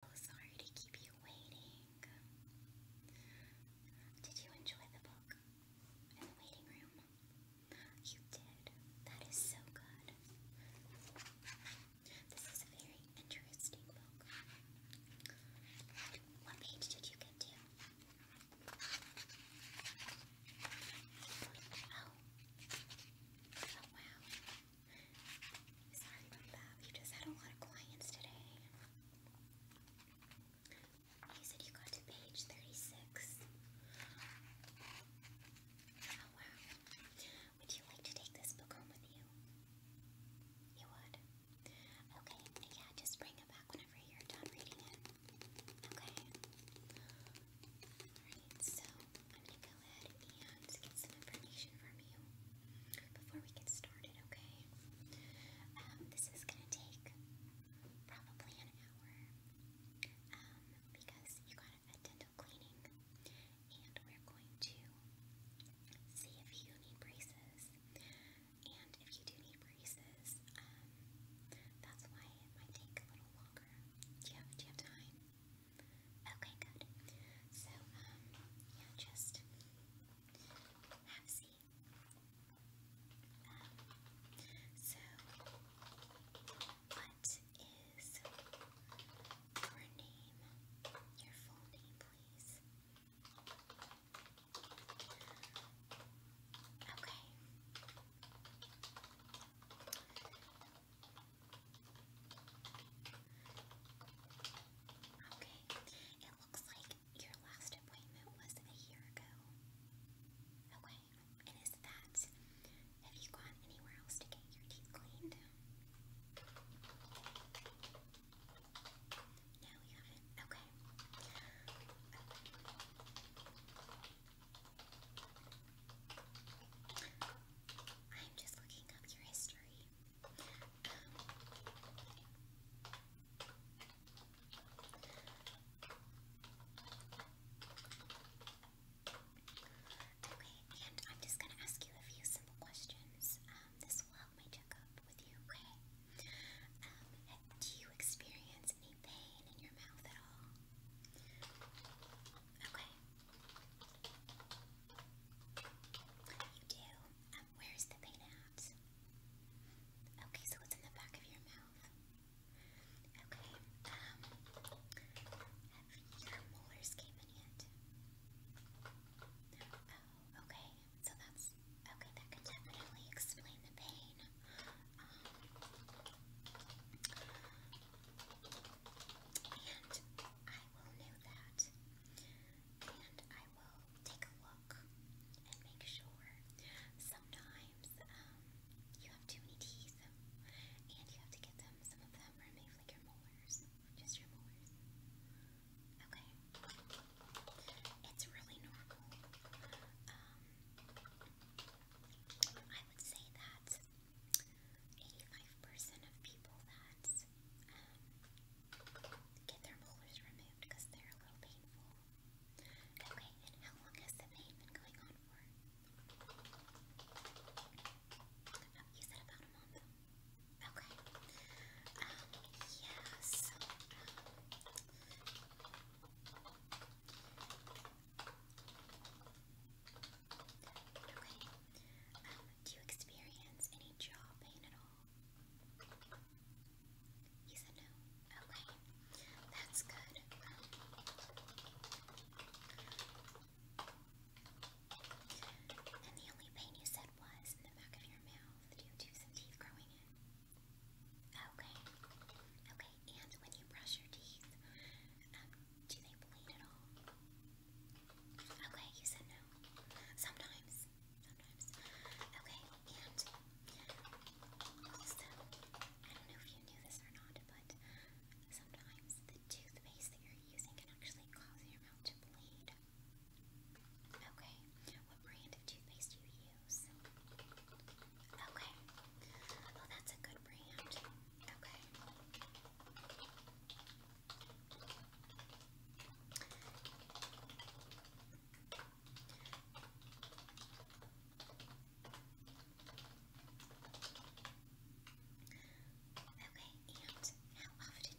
So oh, sorry to keep you waiting. Did you enjoy the book in the waiting room? You did. That is so good. This is a very interesting book. What page did you get to? Oh. Oh wow. Sorry about that. We just had a lot of clients today. You said you got to page 36. Oh wow. Would you like to take this book home with you? You would? Okay, yeah, just bring it back whenever you're done reading it. Okay. Alright, so I'm gonna go ahead and get some information from you before we get started, okay? Um, this is gonna take probably an hour um, because you got a dental cleaning and we're going to see if you need braces. And if you do need braces, um, that's why it might take a little longer. do you have time? Okay, good. So, um, yeah, just have a seat. Um, so, what is your name? Your full name, please. Okay. Okay, it looks like your last appointment was a year ago. Okay, and is that, have you gone anywhere else to get your teeth cleaned? No, you haven't? Okay. I'm just looking up your history. Okay, and I'm just gonna ask you a few simple questions. Um, this will help my checkup with you, okay? Um, do you experience any pain in your mouth at all? Okay. You do. Where's the pain at? Okay, so it's in the back of your mouth. Okay, um, have your molars came in yet? Oh, okay, so that's, okay, that can definitely explain the pain. Um, and I will know that. And I take a look and make sure. Sometimes um, you have too many teeth and you have to get them, some of them removed like your molars, just your molars. Okay? It's really normal. Um, I would say that 85% of people that um, get their molars removed because they're a little painful. Okay, and how long has the pain been going on for? Oh, you said about a month. Okay. Um, yeah, so, um, okay. Um, do you experience any jaw pain at he said no. Okay, that's good. And the only pain you said was in the back of your mouth due to some teeth growing in. Okay, okay. And when you brush your teeth, um, do they bleed at all? Okay, you said no. Sometimes, Okay, and also, I don't know if you knew this or not, but sometimes the toothpaste that you're using can actually cause your mouth to bleed. Okay, what brand of toothpaste do you use? Okay, well, that's a good brand. Okay and how often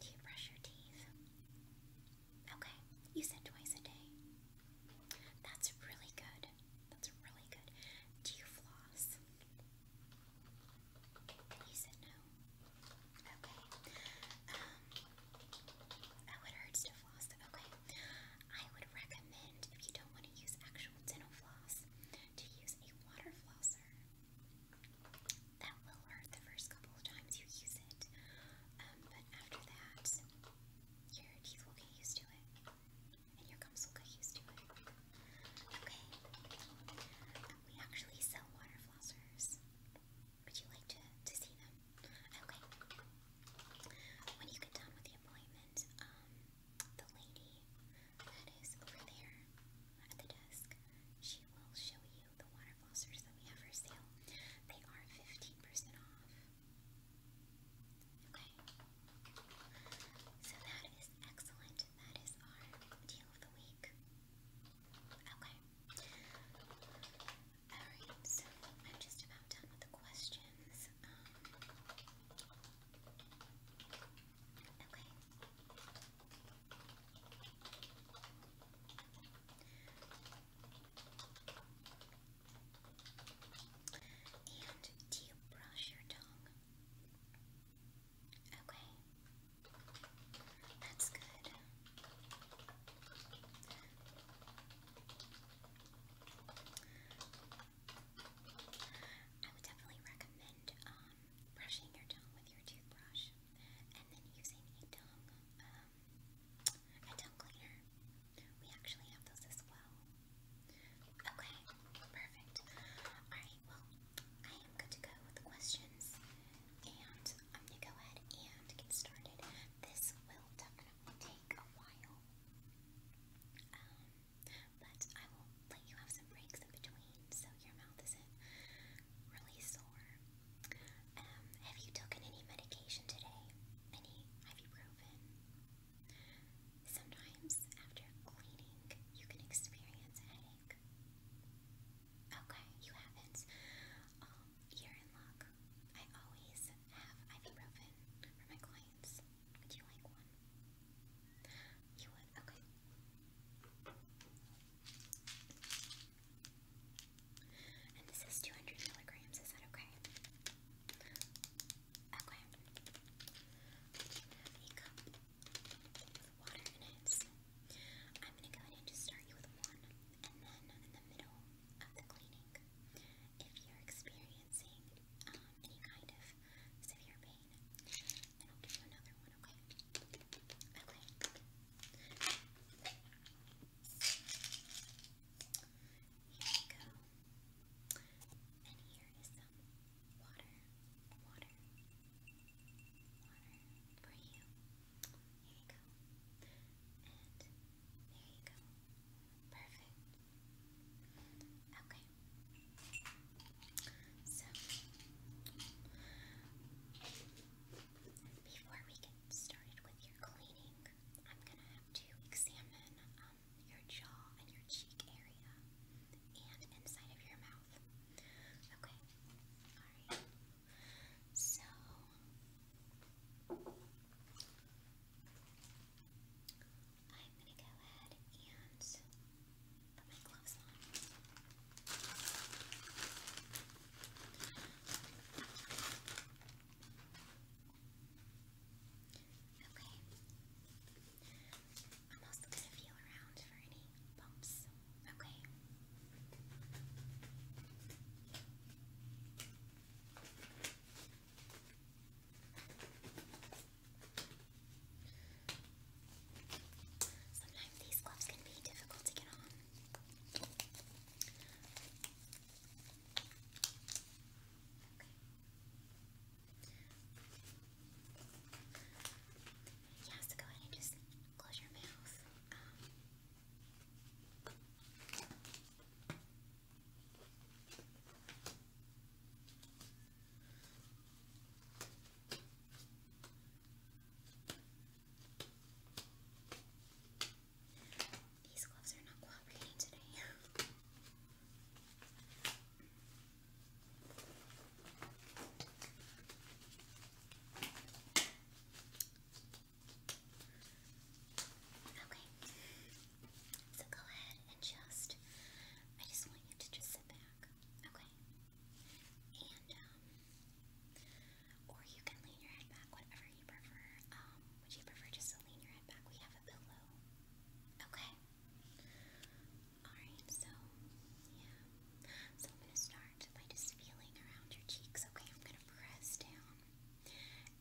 do you brush your teeth? Okay, you said twice a day. That's really good. That's really good. Do you floss? You said no. Okay. Um, oh, it hurts to floss. Okay. I would recommend, if you don't want to use actual dental floss, to use a water flosser. That will hurt the first couple of times you use it. Um, but after that, your teeth will get used to it. And your gums will get used to it. Okay. Um, we actually sell water flossers. Would you like to, to see them? Okay. When you get done with the appointment, um, the lady that is over there at the desk, she will show you the water flossers that we have for sale. They are 15% off. Okay. So that is excellent. That is our deal of the week. Okay. Alright, so I'm just about done with the questions. Um, okay. And do you brush your tongue? Okay. That's good. I would definitely recommend um, brushing your tongue with your toothbrush and then using a tongue, um, a tongue cleaner. We actually have those as well. Okay, perfect. Alright, well, I am good to go with questions and I'm going to go ahead and get started. This will definitely take a while. Um, but I will let you have some breaks in between so your mouth isn't really sore. Um, have you taken any medication today? Any ibuprofen? Sometimes after cleaning, you can experience headache. Okay, you haven't. you're um, in luck. I always have ibuprofen for my clients. Would you like one? You would? Okay. And this is 200 milligrams, is that okay? Okay. I have a water in it. I'm gonna go ahead and just start you with one, and then in the middle of the cleaning, if you're experiencing um, any kind of severe pain, I'll give another one, okay? Okay. Here we go. And here is some water, water, water for you. Here you go. And there you go. Perfect. Okay. So, before we get started with your cleaning, I'm gonna have to examine um, your jaw and your cheek area and inside of your mouth. Okay. Alright. So I'm gonna go ahead and put my gloves on. Okay. I'm also gonna feel around for any bumps. Okay. Sometimes these gloves can be difficult to get on. Okay. Yes, yeah, go ahead and just close your mouth. Um, these gloves are not cooperating today. Okay. So go ahead and just, I just want you to just sit back, okay? And, um, or you can lean your head back, whatever you prefer. Um, would you prefer just to lean your head back? We have a pillow. Okay. Alright, so, yeah. So I'm going to start by just feeling around your cheeks, okay? I'm going to press down.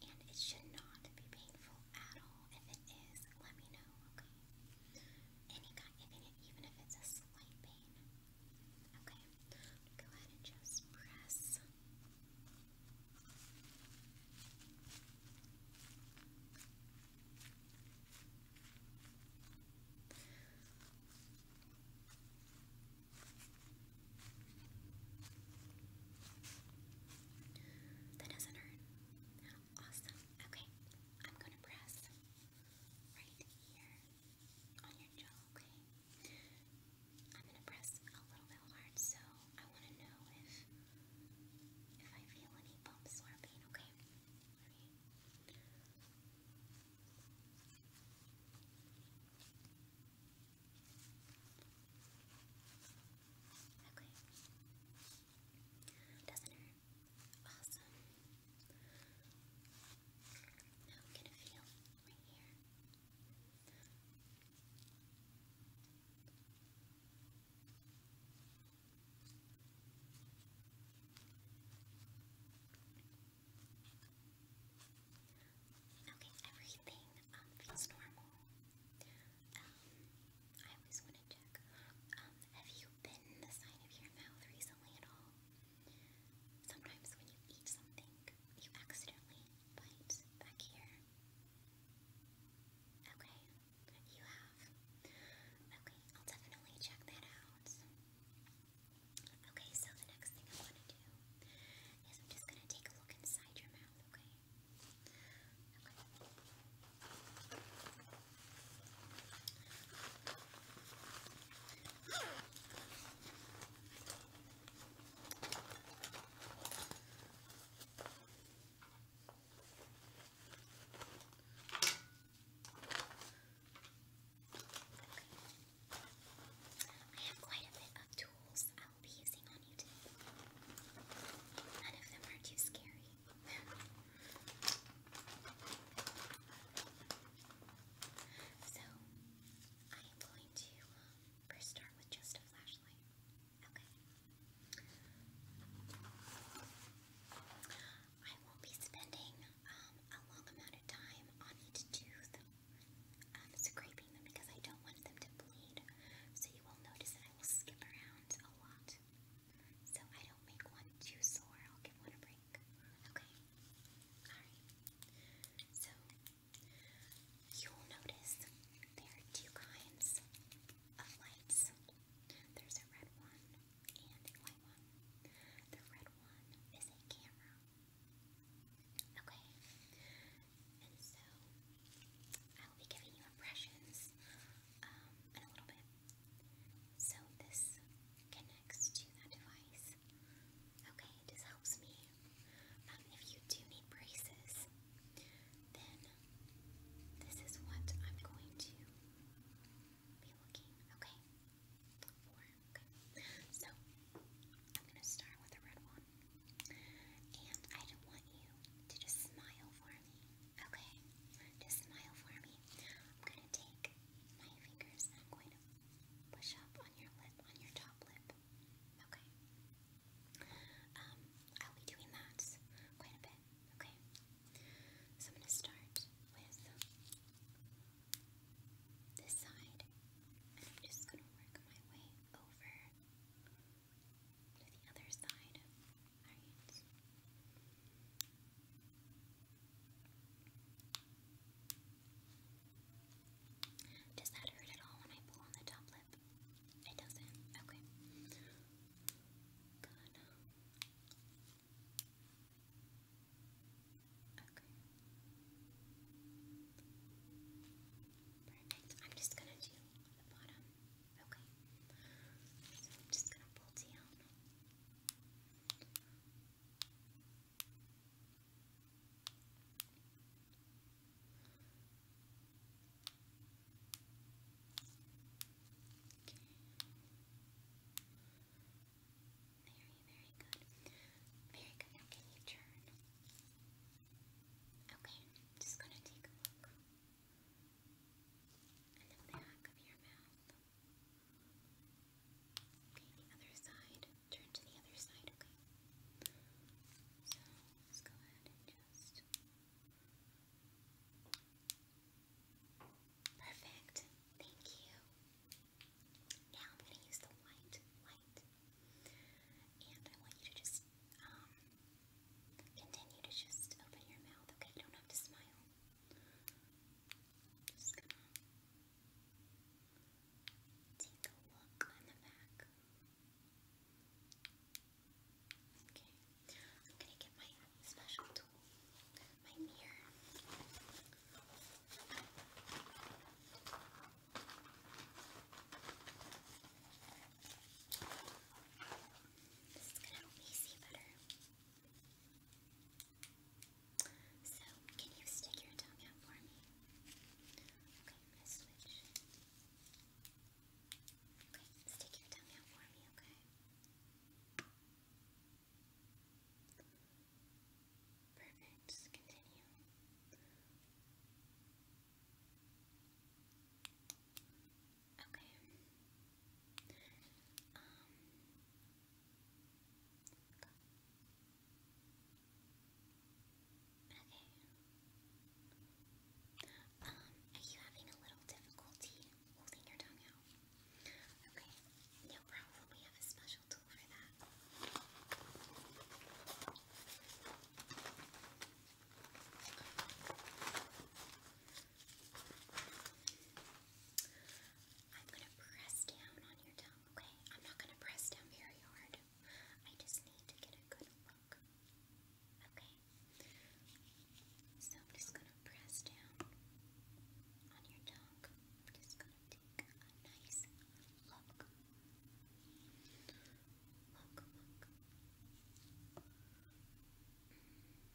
And it should not be painful at all. If it is, let me know, okay? Any kind, even, if it's a slight pain. Okay, go ahead and just press. That doesn't hurt. Awesome. Okay, I'm gonna press right here on your jaw, okay? I'm gonna press a little bit hard, so I wanna know if if I feel any bumps or pain, okay? Okay. Doesn't hurt. Awesome. Now I'm gonna feel right here. Okay. Okay, everything um, feels normal. Um, I always want to check. Um, have you been the side of your mouth recently at all? Sometimes when you eat something, you accidentally bite back here. Okay, you have. Okay, I'll definitely check that out. Okay, so the next thing I'm gonna do is I'm just gonna take a look inside your mouth, okay? I have quite a bit of tools I will be using on you None of them are too scary. so, I am going to um, start with just a flashlight. Okay. I won't be spending um, a long amount of time on each tooth um, scraping them because I don't want them to bleed. So you will notice that I will skip around a lot. So I don't make one too sore, I'll give one a break. Okay? Alright. So, you'll notice there are two kinds of lights. There's a red one and a white one. The red one is a camera. Okay, and so I will be giving you impressions um, in a little bit. So this connects to that device. Okay, this helps me. Um, if you do need braces, then this is what I'm going to be looking okay so I'm gonna start with a red one, and I don't want you to just smile for me. Okay, just smile for me. I'm gonna take my fingers I'm going to push up on your lip, on your top lip. Okay. Um, I'll be doing that quite a bit. Okay. So I'm gonna start with this side, and I'm just gonna work my way over to the other side. Alright. Does that hurt at all when I pull on the top lip? It doesn't. Okay. Good. Okay. Perfect. I'm just gonna do the bottom. Okay. So I'm just gonna pull down. Okay. Very, very good. Very good. can you turn? Okay, just gonna take a look. And the back of your mouth. Okay, the other side. Turn to the other side, okay? So, let's go ahead and just... Perfect, thank you. Now I'm gonna use the white, white, and I want you to just um, continue to just open your mouth, okay? You don't have to smile. Just gonna take a look on the back. Okay, I'm gonna get my special tool, my mirror. This So, can you stick your tongue out for me? Okay, switch. Okay, stick your tongue out for me, okay? Perfect, continue. Okay. Um. Okay. Um, are you having a little difficulty holding your tongue out? Okay, no problem. We have a special tool for that. I'm going to press down on your tongue, okay? I'm not going to press down very hard. I just need to get a good look, okay? So I'm just going to press down on your tongue. I'm just going to take a nice look. Look, look.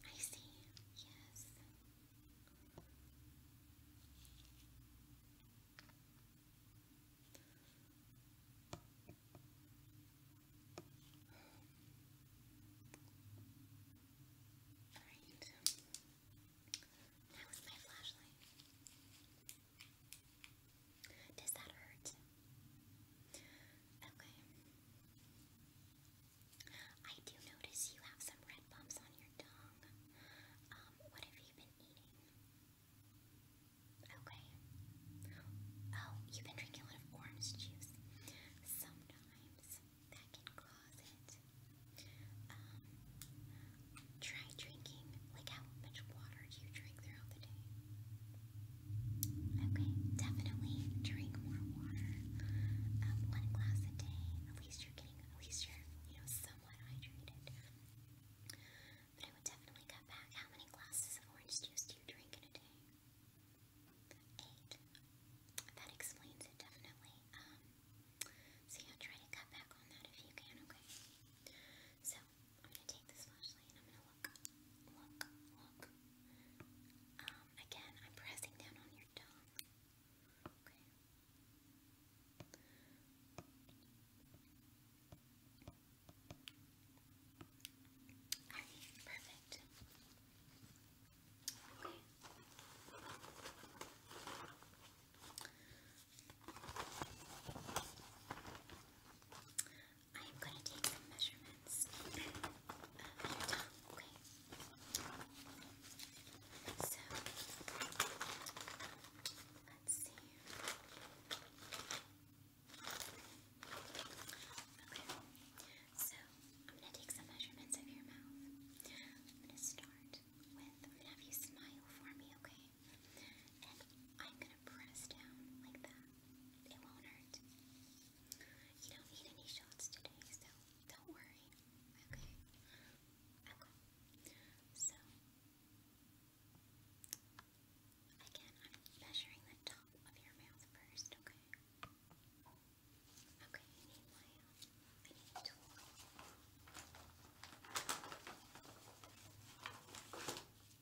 I see. Yes. Alright. my flashlight. Does that hurt? Okay. I do notice you have some red bumps on your tongue. Um, what have you been eating? Okay. Oh, you've been drinking a lot of orange juice. Sometimes that can cause it. Um, Try drinking, like how much water do you drink throughout the day? Okay, definitely drink more water. Um, one glass a day. At least you're getting, at least you're, you know, somewhat hydrated. But I would definitely cut back. How many glasses of orange juice do you drink in a day? Eight. That explains it definitely. Um, so try to cut back on that if you can, okay? So I'm gonna take this flashlight and I'm gonna look, um, again, I'm pressing down on your tongue. perfect. Okay. I am going to take measurements of your tongue, So, let's see. so I'm going to take some measurements of your mouth. I'm going to start with, I'm going to have you smile for me, okay? and I'm gonna press down like that. It won't hurt. You don't need any shots today, so don't worry. Okay. So again, I'm measuring the top of your mouth first. Okay. Okay. You need my. I need a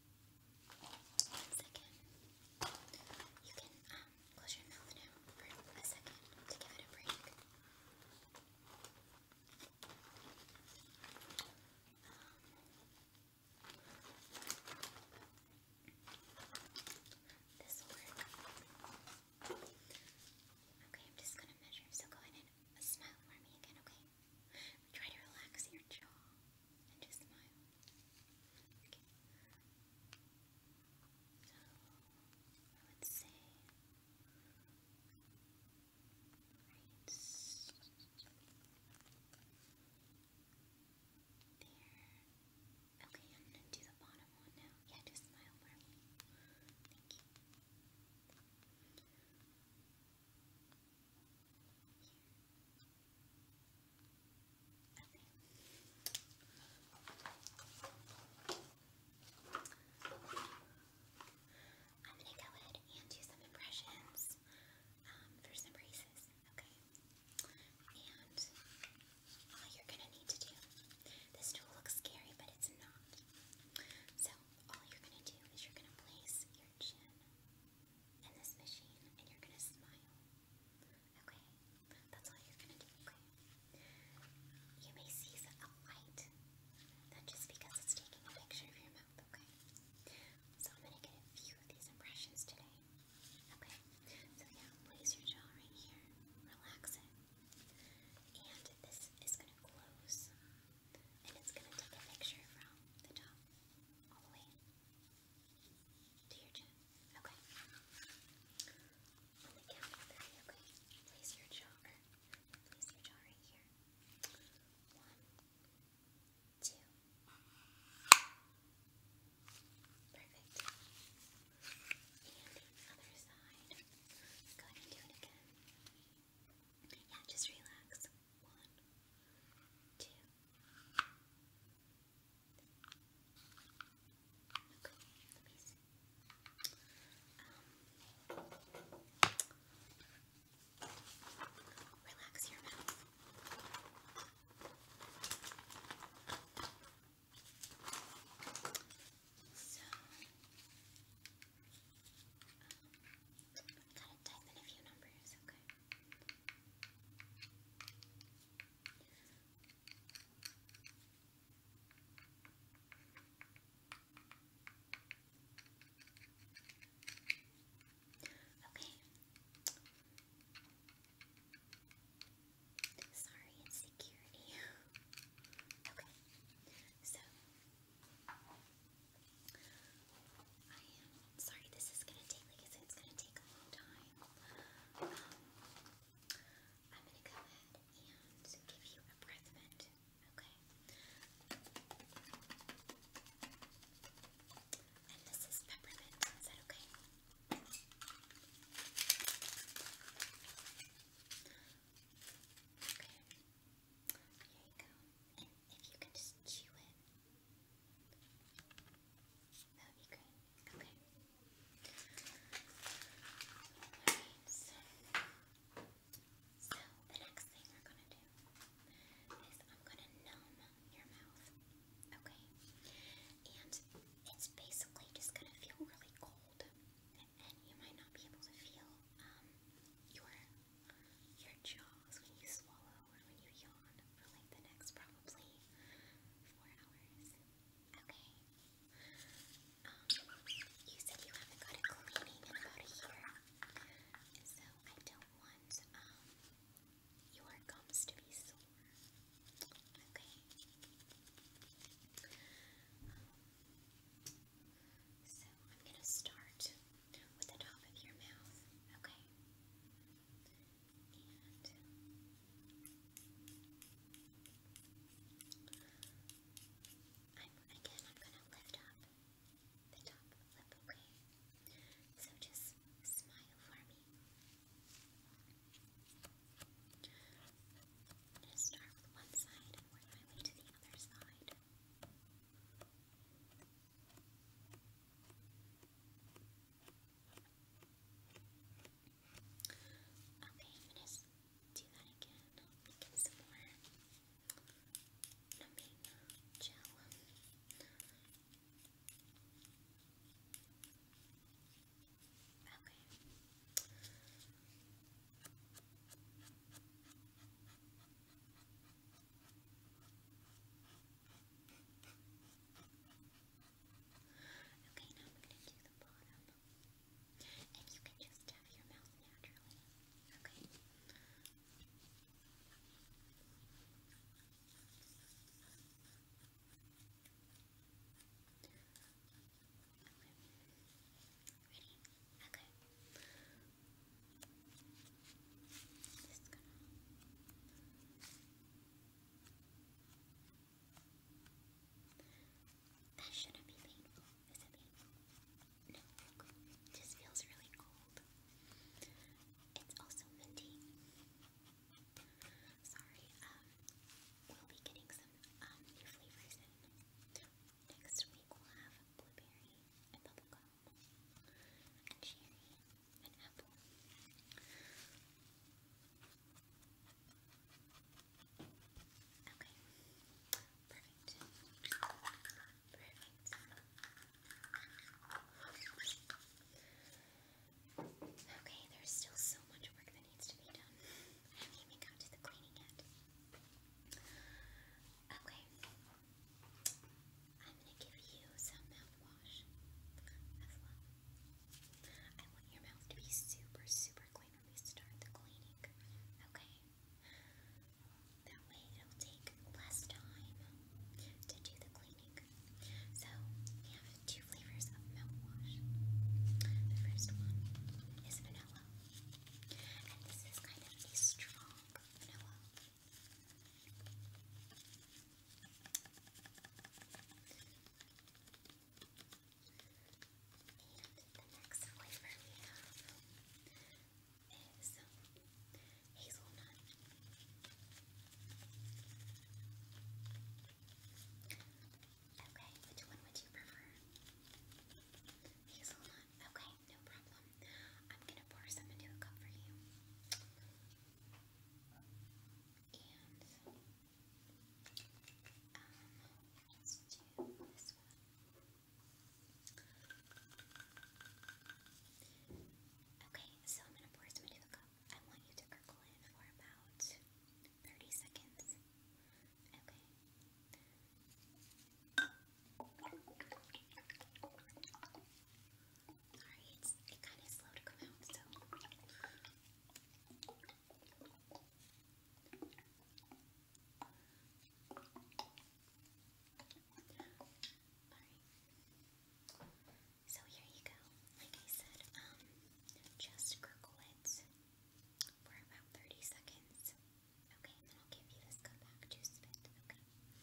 once you can um, close your mouth now for a second to give it a break. this will work. Okay, I'm just gonna measure, so go ahead and smile for me again, okay? Try to relax your jaw and just smile. So, I would say, there. Okay, I'm gonna do the bottom one now. Yeah, just smile for me. Thank you. I'm going to go ahead and do some impressions um, for some braces, okay? And all you're going to need to do, this tool looks scary, but it's not. So all you're going to do is you're going to place your chin in this machine and you're gonna smile. Okay? That's all you're gonna do, okay? You may see a light. Not just because it's taking a picture of your mouth, okay? So I'm gonna get a few of these impressions today. Okay? So yeah, place your jaw right here. Relax it. And this is gonna close. And it's gonna take a picture from the top all the your chin. Okay. Place your jaw, place your jaw right here. One, two. Perfect. And the other side. Go ahead and do it again. Yeah, just relax. One, two. Okay, let me see. relax your mouth. So, um, gotta type in a few numbers, okay? Okay. Sorry, it's security. okay. So, I am sorry this is gonna take it's gonna take a long time. Um, I'm gonna go ahead and give you a breath mint, okay? And this is peppermint, is that okay? Okay. Here you go. And if you can just chew it, that would be great. Okay. so, the next thing we're gonna do is I'm gonna numb your mouth. Okay? And it's basically just gonna feel really cold. And you might not be able to feel um, your your jaws when you swallow or when you yawn for like probably four hours. Okay. Um, you said you haven't got a cleaning in about a year. so I don't want um your gums to be sore. Okay. so I'm gonna start with the top of your mouth, okay? And again, I'm gonna lift up the top lip, okay? So just smile for me. I'm gonna start with one side work my way to the other side. Okay, I'm do that again. Making some more numbing gel. Okay, Okay, now we're going to do the bottom. And you can just tap your mouth naturally. Okay. Okay. Ready? Okay. Just going that shouldn't be painful. Is it painful? No, just feels really cold. It's also minty. Sorry, um, we'll be getting some um, new flavors in. Next week we'll have blueberry and bubblegum cherry, an Okay, perfect. Perfect. Okay, there's still so much work that needs to be done. I haven't even got to the cleaning yet. Okay, I'm going to give you some mouthwash as well. I want your mouth to be super, super clean when we start the cleaning, okay? That way it'll take less time to do the cleaning. So, we have two flavors of mouthwash. The first one is vanilla, and this is kind of a strong vanilla the next flavor we have is hazelnut. Okay, which one would you prefer? Hazelnut. Okay, no problem. I'm gonna pour some into a cup for you let Okay, so I'm going to pour some into the cup. Um, I want you to gurgle it for about 30 seconds. Okay, Sorry, it kind of slow to come out, so. Alright. So here you go. Like I said, um, just crinkle it for about 30 seconds. Okay, and then I'll give you this cup back to spit.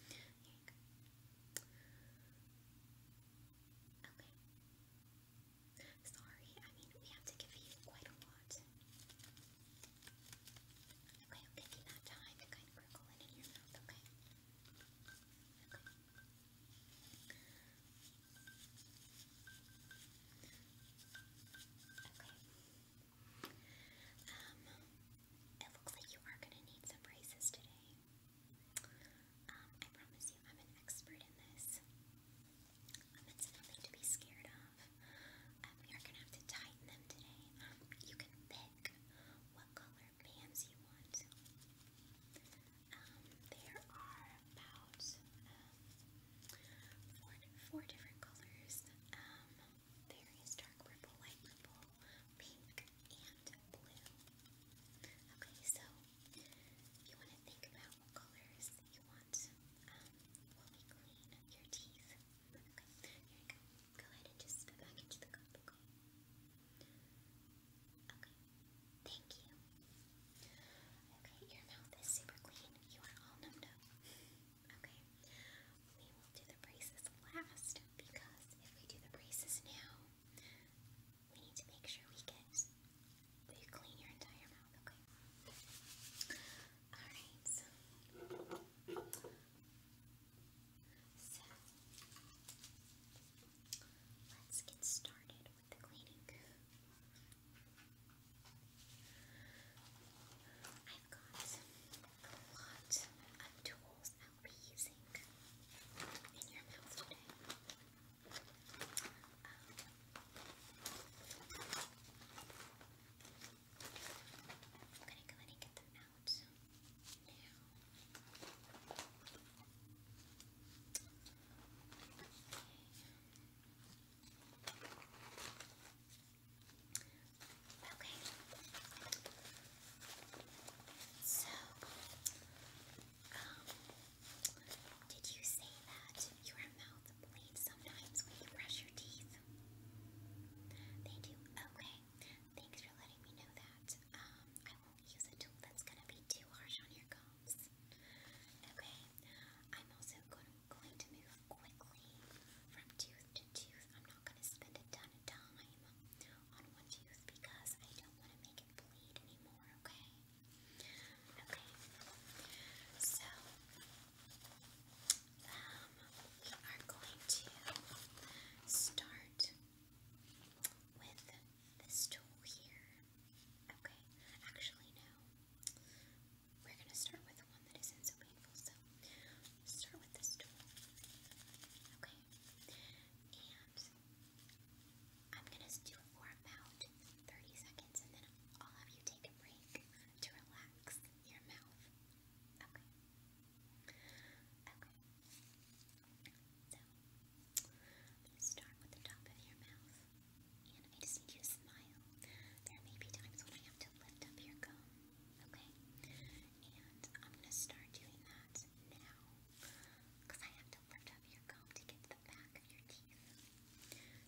Here you go. Okay. Sorry, I mean, we have to give you quite a lot. Okay, I'm that time to kind of crinkle it in your mouth, Okay. Okay. Um, it looks like you are going to need some braces today. Um, I promise you, I'm an expert in this. Um, it's nothing to be scared of. Um, we are gonna have to tighten them today. you can pick what color bands you want. there are about four, different colors. Um, dark purple, light purple, pink, and blue. Okay, so you want to think about what colors you want um, while we clean your teeth. Okay, here we go. Go ahead and just spit back into the cup, Okay, thank you. Okay, your mouth is super clean. You are all numbed up. Okay, we will do the braces last because if we do the braces now, we need to make sure we get you clean your entire mouth, okay? Alright, so let's get started with the cleaning. I've got a lot of tools I will be using in your mouth today. Um, I'm gonna go ahead and get them out now. Okay. Okay. So, um, did you say that your mouth bleeds sometimes when you brush your teeth? They do. Okay. Thanks for letting me know that. Um, I won't use a tool that's gonna be too harsh on your gums. Okay. I'm also going going to move quickly from tooth to tooth. I'm not gonna spend a ton of time on one tooth because I don't want to make make it bleed anymore, okay? Okay, so, um, we are going to start with this tool here, okay? Actually, no, we're going to start with one that isn't so painful, so start with this tool, okay? And I'm going to do it for about 30 seconds and then I'll have you take a break to relax your mouth. Okay. Okay. So, I'm going to start with the top of your mouth and I just need you to smile. There may be times when I have to lift up your gum, okay? And I'm going to start doing that now. Because I have to lift up your comb to get the back of your teeth.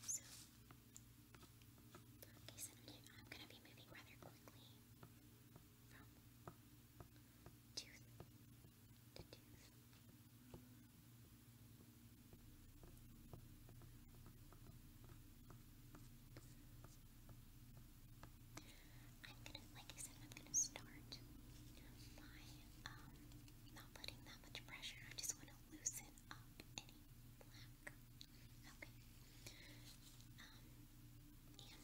So, okay, so I'm going to be moving rather quickly from tooth to tooth. I'm gonna, like I said, I'm gonna start by um, not putting that much pressure. I just want to loosen up any black. Okay. Um,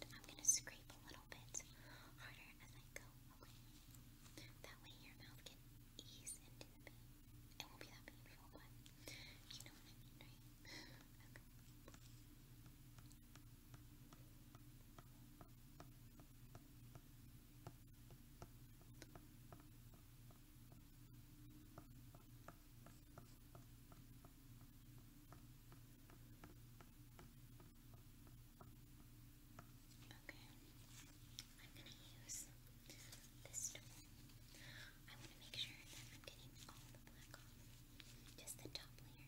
and I'm gonna scrape a little bit harder as I go away. That way your mouth can ease into the It won't be that painful, but you know what I mean, right? Okay. I'm going to use this I want to make sure that I'm getting all the black off, just the top layer.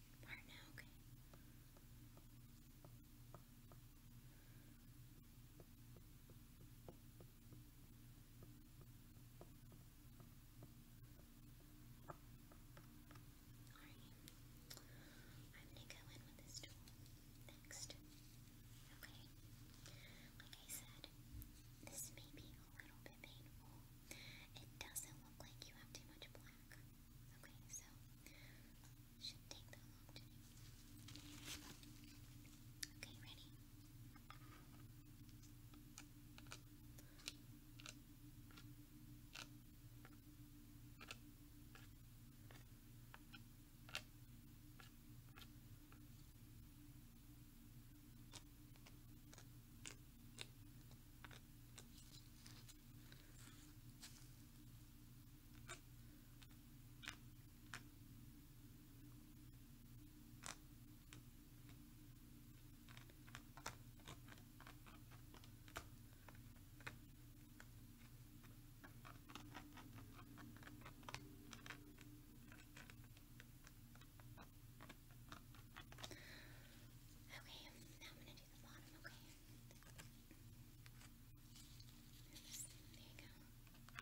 part Alright, I'm gonna go in with this tool next, okay? Like I said, this may be a little bit painful. It doesn't look like you have too much black. Okay, so should take that long Okay, ready? Okay, now I'm going to do okay? There you go. Like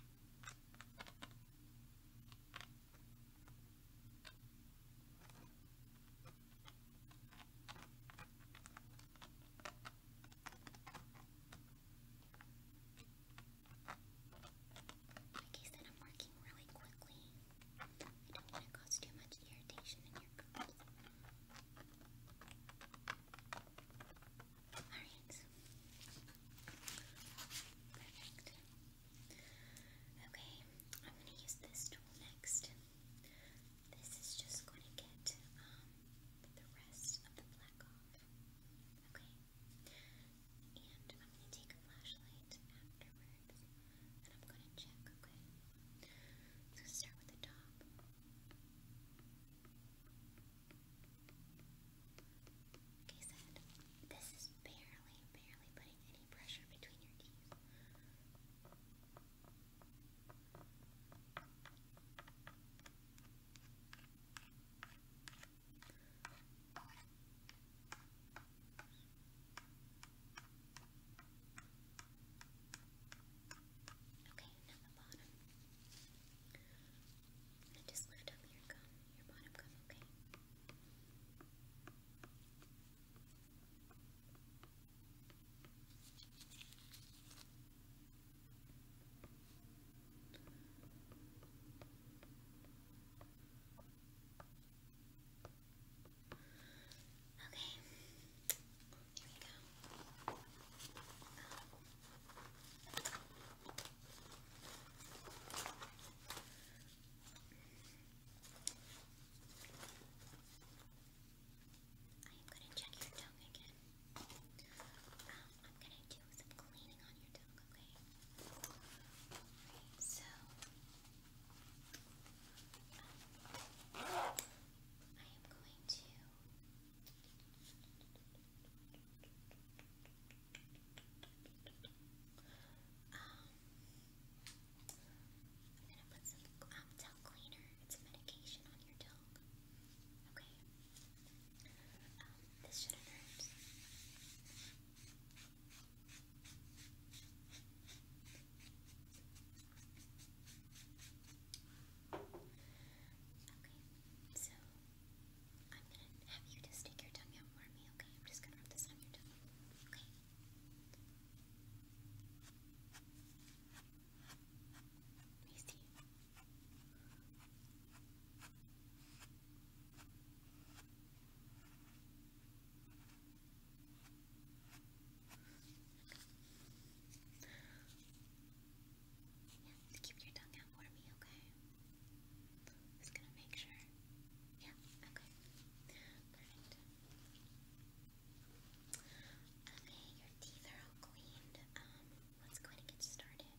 I I'm working really quickly. I don't want to cause too much irritation in your cookies. Alright. Okay, I'm going to use this tool next. This is just going to get um, the rest of the black off. Okay. And I'm going to take a flashlight afterwards cards, and I'm gonna check, okay? So start with the top. Okay, so this is barely, barely putting any pressure between your teeth. Okay, now the bottom. And just lift up your gum, your bottom gum, okay? Okay, Okay, here we go. I'm gonna check your tongue again. Um, I'm gonna do some cleaning on your tongue, okay? so. I am going to um I'm gonna put some um, cleaner. It's medication on your tongue. Okay. Um, this shouldn't Okay, so I'm gonna have you just stick your tongue out for me, okay? I'm just gonna rub this on your tongue, okay? Let yeah, keep your tongue out for me, okay? Just gonna make sure. Yeah, okay. Perfect. Okay, your teeth are all cleaned. Um, let's go ahead and get started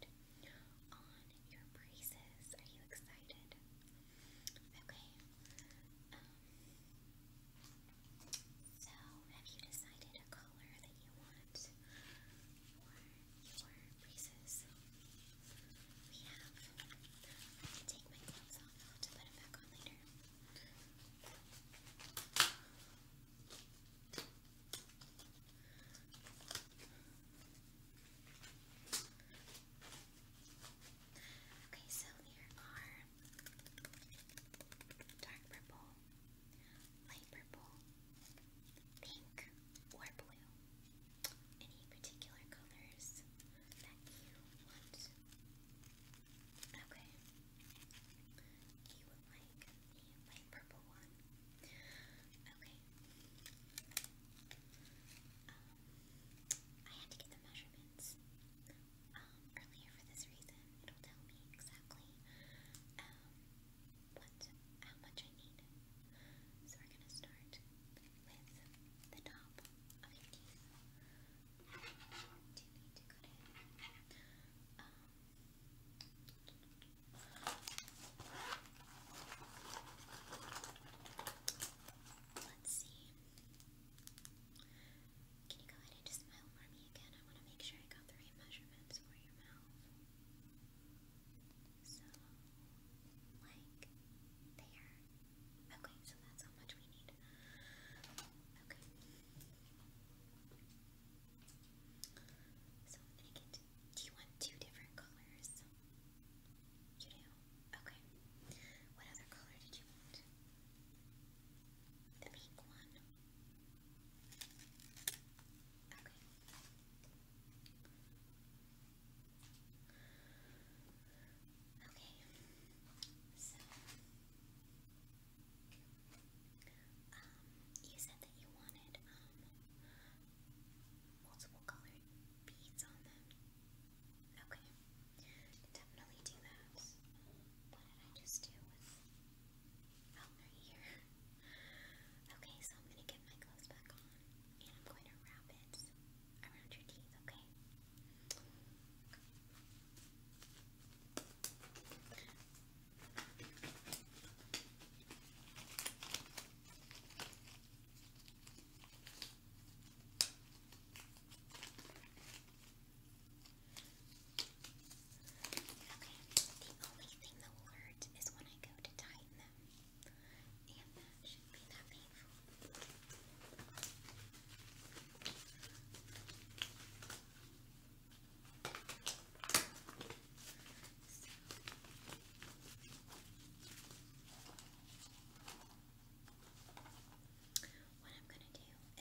on your braces. Are you excited? Okay. Um, so, have you decided a color that you want for your braces? We have. I'll take my gloves off to put them back on later. Okay, so here are dark purple, light purple, pink, or blue. Any particular colors that you want? Okay. You would like the light purple one. Okay. Um, I had to get the measurements um, earlier for this reason. It'll tell me exactly um, what, how much I need. So we're gonna start with the top of your teeth. you um, Let's see. Can you go ahead and just smile for me again? I want to make sure I got the right measurements for your mouth. So, like, there. Okay, so that's how much we need. Okay. So, I'm gonna get. Do you want two different colors? You do? Okay. What other color did you want? The pink one. Okay. Okay. So, um, you said that you wanted, um, multiple colored beads on them. Okay. I definitely do that. What did I just do with... Oh, here. Okay, so I'm gonna get my clothes back on, and I'm going to wrap it around your teeth, Okay, the only thing that will is when I go to tighten them. And that should be that painful. What I'm going to do is I'm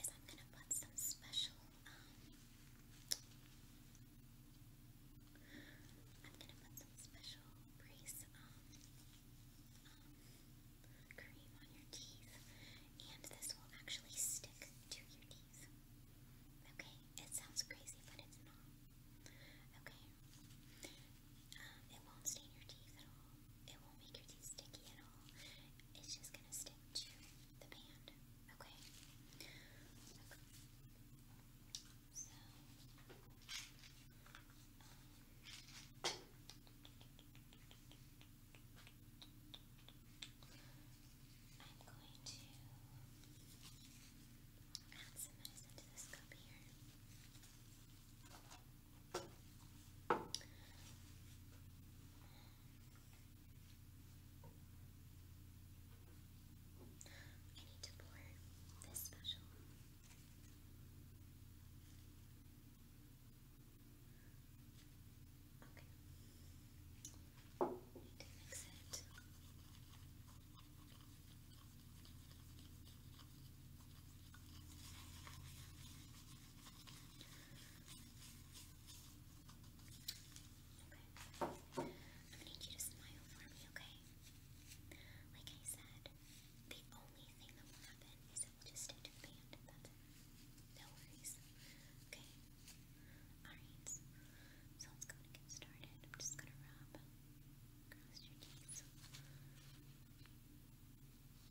going to put some special I'm gonna put some special brace cream on your teeth, and this will actually stick to your teeth. Okay, it sounds crazy, but it's not. Okay, it won't stain your teeth at all. It won't make your teeth sticky at all. It's just gonna stick to the band, okay? So, I'm going to add some medicine to this cup here. I need to pour this special. Okay. I Okay. I'm gonna need you to smile for me, okay? Like I said, the only thing that will happen is it will just stay to the band. No worries. Okay. Alright. So let's go and get started. I'm just gonna rub across your teeth.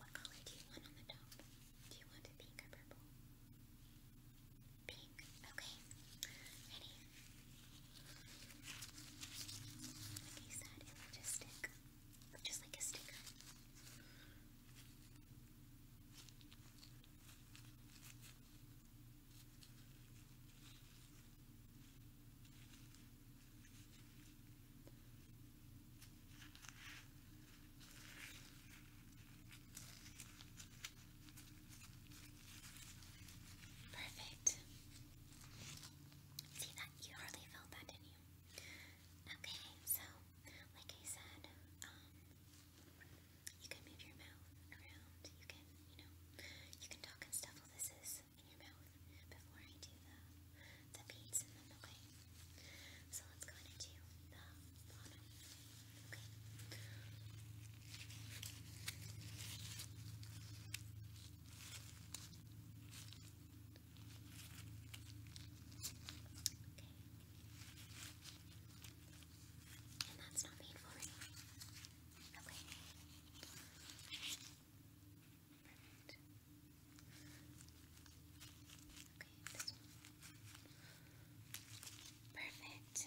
What color do you want on the top? Do you want a pink or purple? Pink. Okay. Ready? Like I said, it will just stick. Just like a sticker. Perfect. See that? You hardly felt that, did you? Okay, so like I said, um, you can move your mouth around. You can, you know, you can talk and stuff this in your mouth before I do the the beads So let's go ahead the bottom, okay? And that's not painful, right? Okay. Okay. Perfect. Okay, Perfect.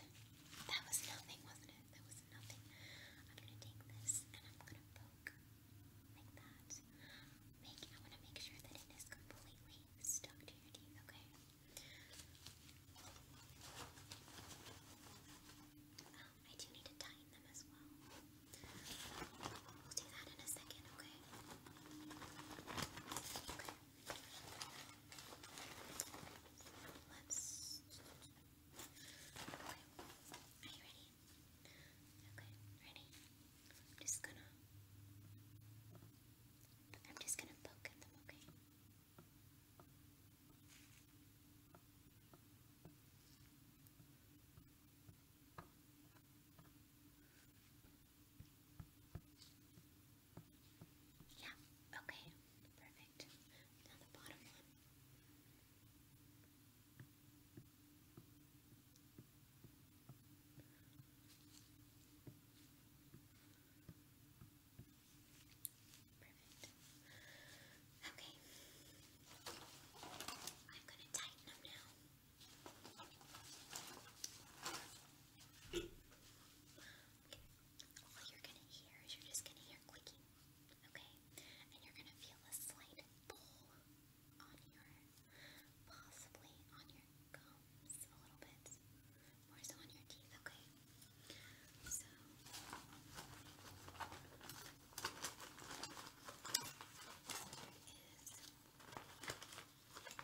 That was nothing, wasn't it? That was nothing. I'm gonna take this and I'm gonna poke like that. Make I wanna make sure that it is completely stuck to your teeth, okay? Um, I do need to tighten them as well. We'll do that in a second, okay? Okay. Let's. Okay. Are you ready? Okay, ready? I'm just gonna. I'm just gonna poke them, Okay. Yeah, okay, perfect. Now the bottom one. Perfect. Okay. I'm going to tighten them now. All you're going to hear is you're just going to hear clicking, okay? And you're going to feel a slight pull on your, possibly on your gums a little bit, more on your teeth, okay? So. There is Strange. Oh.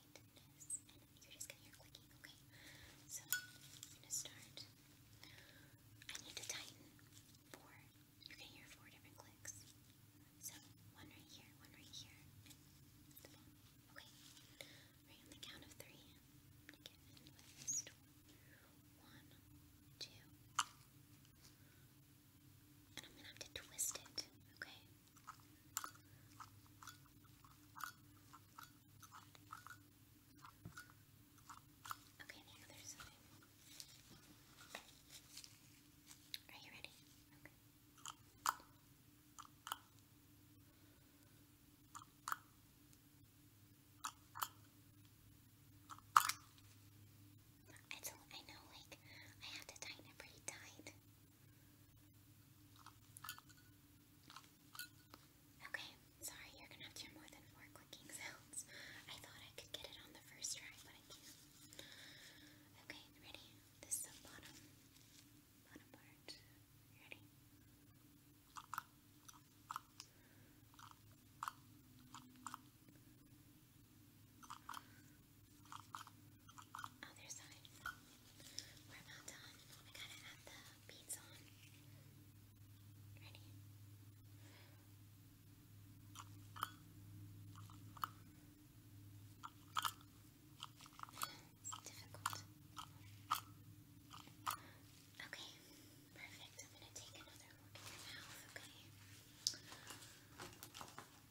mindedness, you're just gonna hear clicking, okay? So I'm gonna start. I need to tighten four. You're gonna hear four different clicks. So one right here, one right here, Okay. Right on the count of three. am One, two. And I'm gonna have to twist it, okay? Okay, the other Are you ready? Okay. It's, I know, like, I have to tighten it pretty tight. Okay, sorry, you're gonna have to hear more than four clicking sounds. I thought I could get it on the first try, but I can't. Okay, ready? This is the bottom, bottom part. Ready? Other side. We're about done. We gotta add the beads on. Ready? It's difficult. Okay, perfect. I'm gonna take another look at your mouth, okay? I'm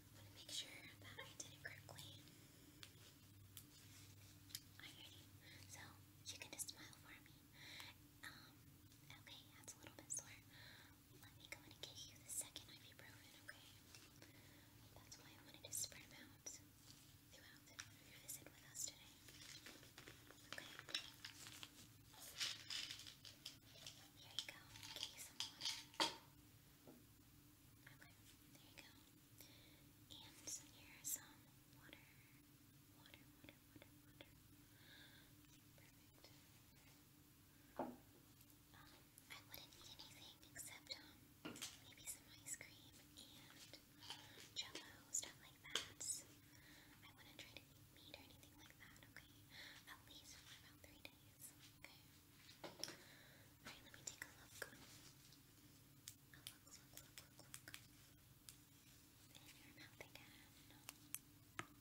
gonna make sure that I did it correctly. Alrighty, so you can just smile for me. Um, okay, that's a little bit sore. Let me go and get you the second ibuprofen, okay? That's why I wanted to spread them out throughout your visit with us today. Okay? Here you go. Okay, there you go. And here is some water. Water, water, water, water. Perfect. Um, I wouldn't need anything except um, maybe some ice cream and um, jello, stuff like that. I wouldn't try to eat meat or anything like that, okay? At least for about three days. Okay. Alright, let me take a look look, In your mouth again. Can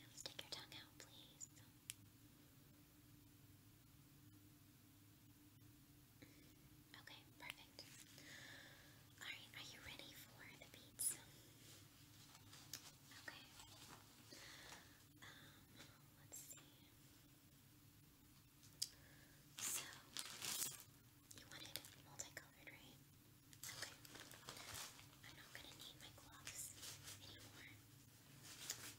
you stick your tongue out, please? Okay, perfect. Alright, are you ready for the beats? Okay. Um, let's see. So, you wanted multicolored, right? Okay. I'm not gonna need my gloves anymore. Um,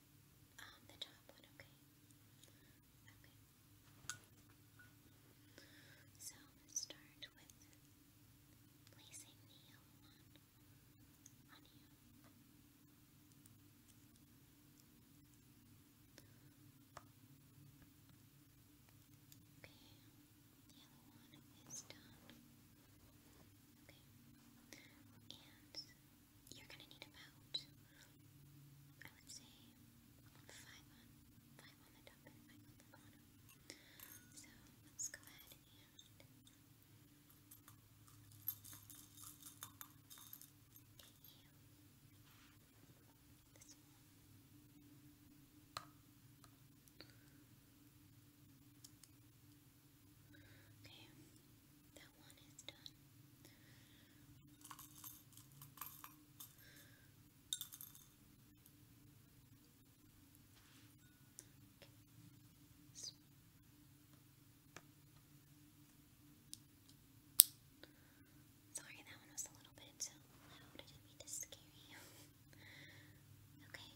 Um, the top one, okay. Okay. So start with placing the yellow one on you. Okay, the yellow one is done. Okay, and you're gonna need about, I would say, five five on the top and five on the bottom. So let's go ahead and get you Okay, that Sorry, that one was a little bit too loud. I didn't mean to scare you. okay.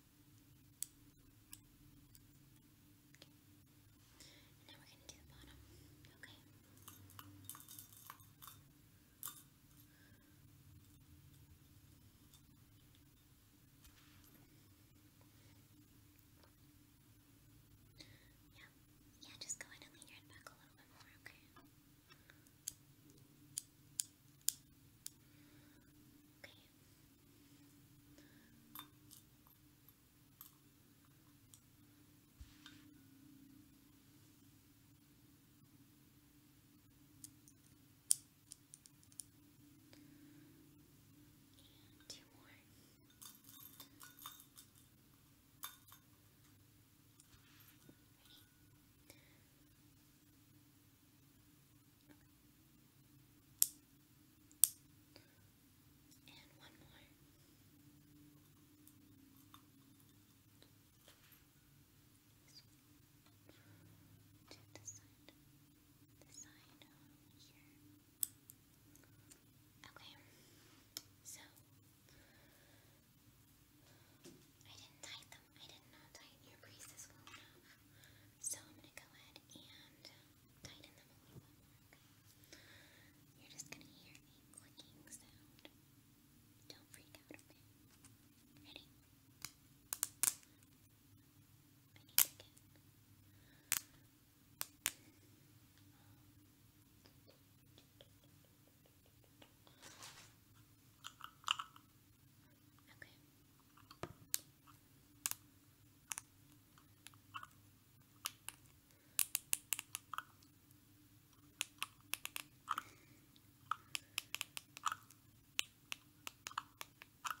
And now we're going to do the bottom, okay? Yeah, yeah, just go ahead and lean your head back a little bit more, okay? Okay, Two more. Ready? And one more. To the side. The side here. Okay. So I didn't tighten them. I did not tighten your creases well enough. So I'm gonna go ahead and tighten them a little more, You're just gonna hear a clicking sound. Don't freak out, okay? Ready? I Okay, perfect. And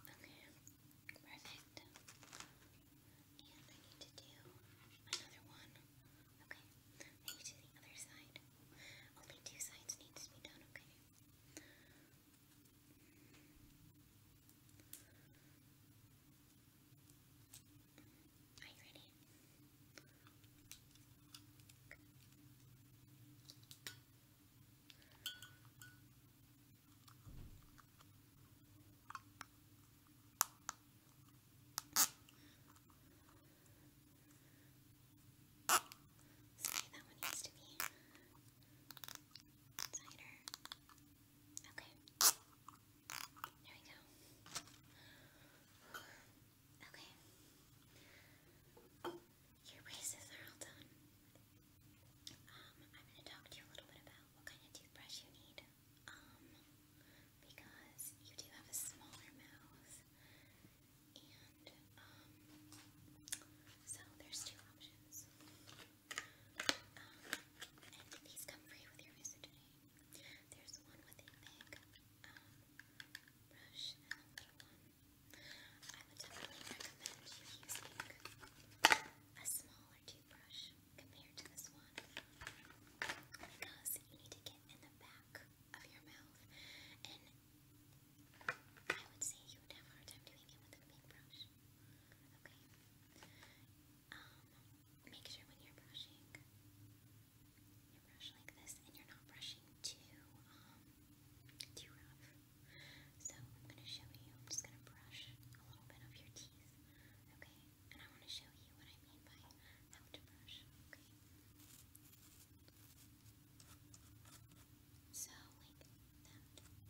I need to do another one. Okay, I to the other side. Only two sides needs to be done, okay? Are you ready? Sorry, that one needs to be Cider. Okay. There we go. Okay. Your braces are all done. Um, I'm gonna talk to you a little bit about what kind of toothbrush you need. Um, because you do have a smaller mouth, and um, so there's two options and come free with your visit today. There's one with a big brush I would definitely recommend you using a smaller toothbrush compared to this one because you need to get in the back of your mouth and I would say you have a time doing it with a big brush. Okay. Um, make sure when you're brushing, you brush like this, and you're not brushing too um, too rough. So I'm gonna show you. I'm just gonna brush a little bit of your teeth, okay? And I want to show you what I mean by how to brush, okay? So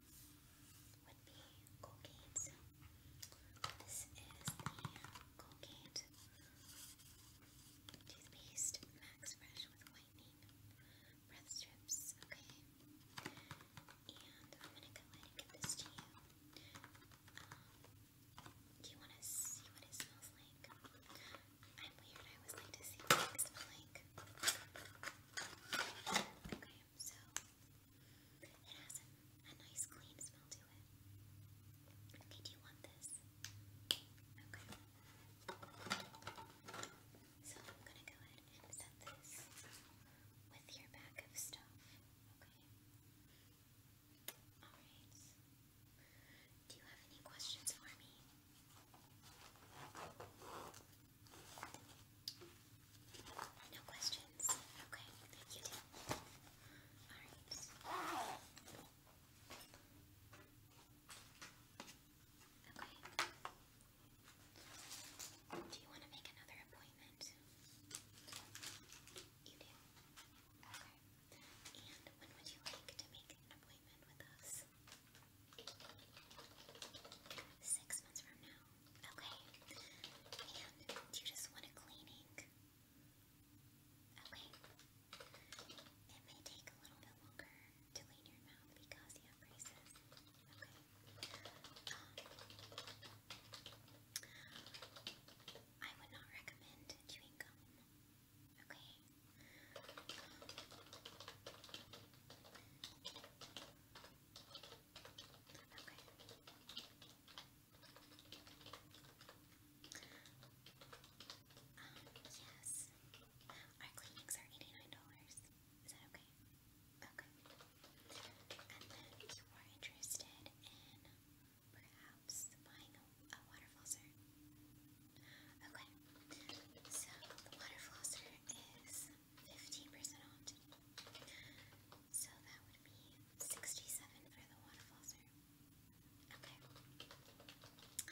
would be Colgate. This is the Colgate toothpaste Max Fresh with whitening breath strips. Okay, and I'm gonna go ahead and give this you. Um, do you want to see what it smells like? I'm weird. I always like to see what it smells like. Okay, so it has a, nice clean smell to it. Okay, do you want this? Okay. So I'm gonna go ahead and set this with your bag of stuff. Okay. Alright. Do you have any questions for me? No questions? Okay, you do. Alright. Okay. Do you want to make another appointment? You do? Okay. And when would you like to make an appointment with us? Six months from now. Okay. do you just want a cleaning? Okay. It may take a little bit longer to clean your mouth because you braces. Okay. Um, I would not recommend chewing gum. Okay. Um, Okay. Um, yes. Our cleanings are $89. Is that okay? Okay. And then you were interested in perhaps buying a water flosser. Okay. So the water flosser is 15% off. So that would be 67 for the water flosser. Okay. Alright.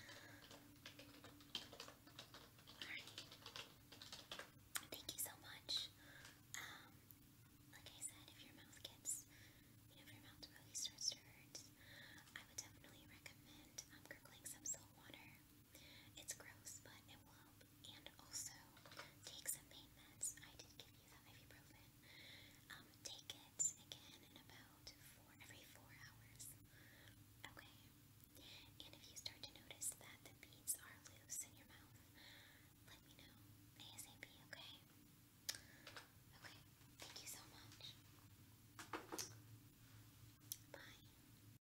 Thank you so much. Um, like I said, if your mouth gets, you know, if your mouth really starts to I would definitely recommend um, some salt water. It's gross, but it will help. And also, take some pain meds. I did give you the ibuprofen. Um, take it again in about every four hours. Okay? And if you start to notice that the beads are loose in your mouth, let me know ASAP, okay? Okay, thank you so much. Bye.